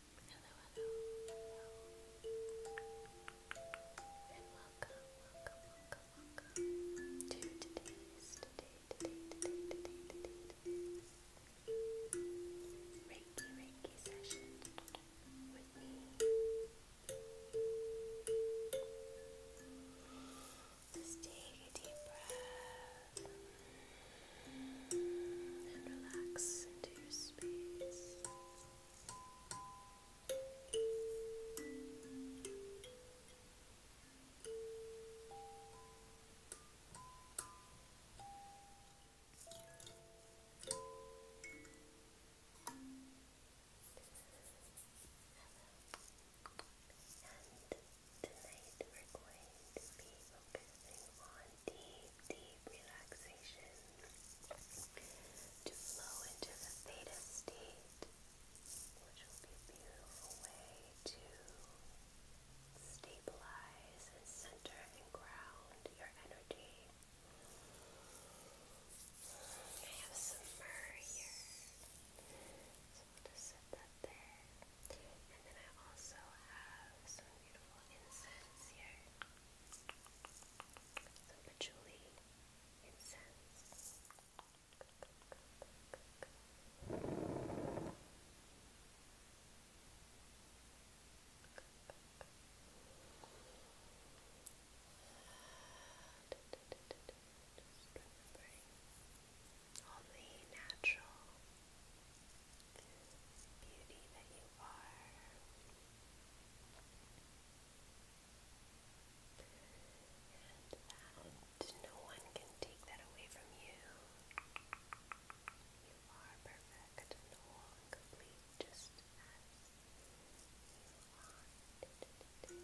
Hello, hello, welcome, welcome, welcome, welcome to today's, today, today, today, today, today, today. Reiki, Reiki session with me. Just take a deep breath and relax into your space. And tonight we're going to be focusing on deep, deep relaxation to flow into the theta state, which will be a beautiful way to stabilize and center and ground your energy. I have some myrrh so we'll just set that there. And then I also have some beautiful incense here some patchouli incense. all the natural beauty that you are. And that no one can take that away from you. You are perfect and whole and complete just as you are. Today.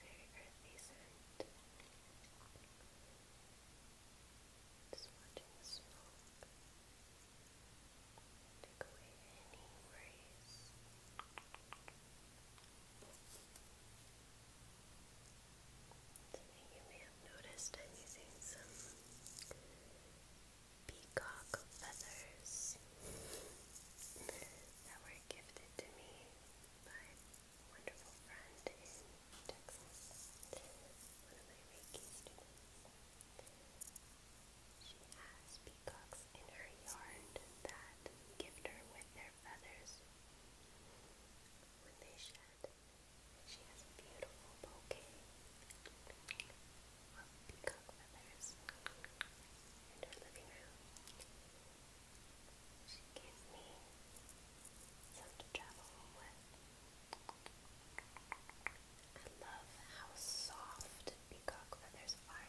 Very earthy scent. Just watching the smoke take away any worries. Just you may have noticed, I'm using some peacock feathers that were gifted to me by a wonderful friend in Texas, one of my Reiki students. She has peacocks in her yard that gift her with their feathers when they shed. She has beautiful bouquet peacock feathers in her living room. She gave me some to travel with. I love how soft peacock feathers are.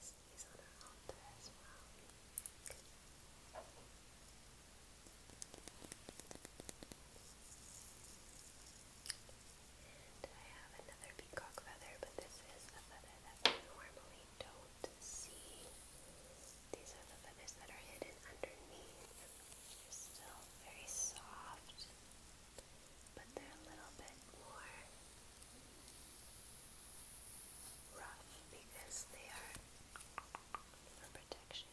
sneeze on her out there as well. And I have another peacock feather, but this is a feather that we normally don't see. These are the feathers that are hidden underneath. They're still very soft, but they're a little bit more rough because they are for protection.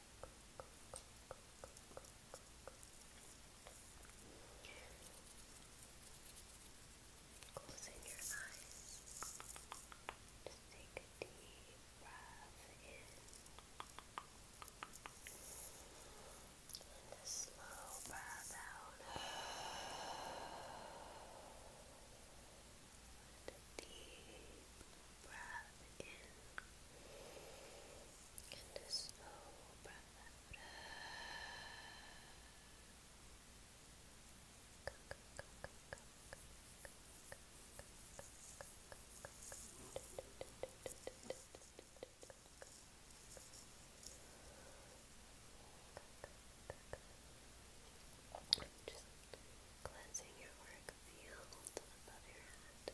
Closing your eyes. Just take a deep breath in and a slow breath out. And a deep breath in and a slow breath Just cleansing your auric field above your head.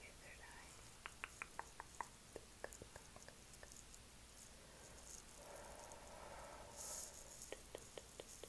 Your third eye. Good, good, good. Good to be allowed to be just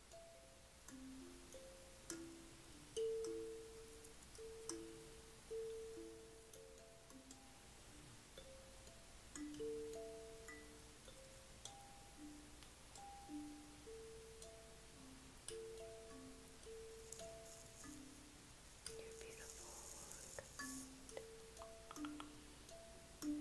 You're beautiful. Good.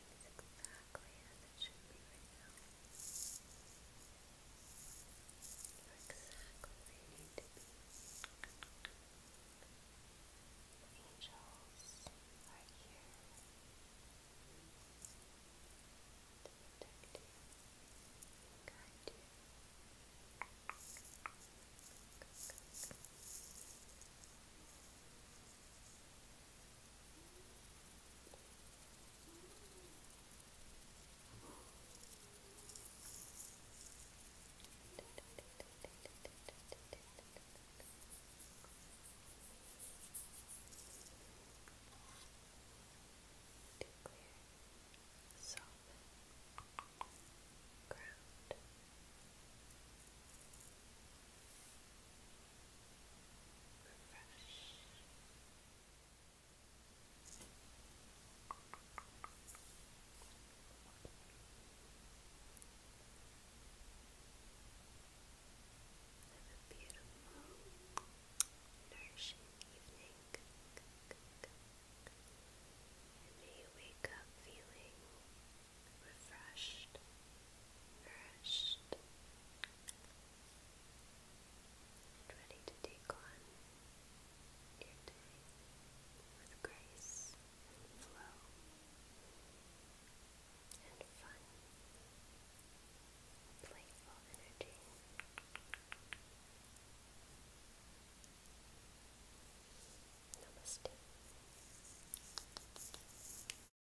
everything's exactly as it should be right now. You're exactly where you need to be. The angels are here to protect you and guide you. Good, good, good solid ground. Ground refresh. beautiful, nourishing evening. And you feeling refreshed nourished and ready to take on your day with grace and flow and fun, playful energy. Namaste.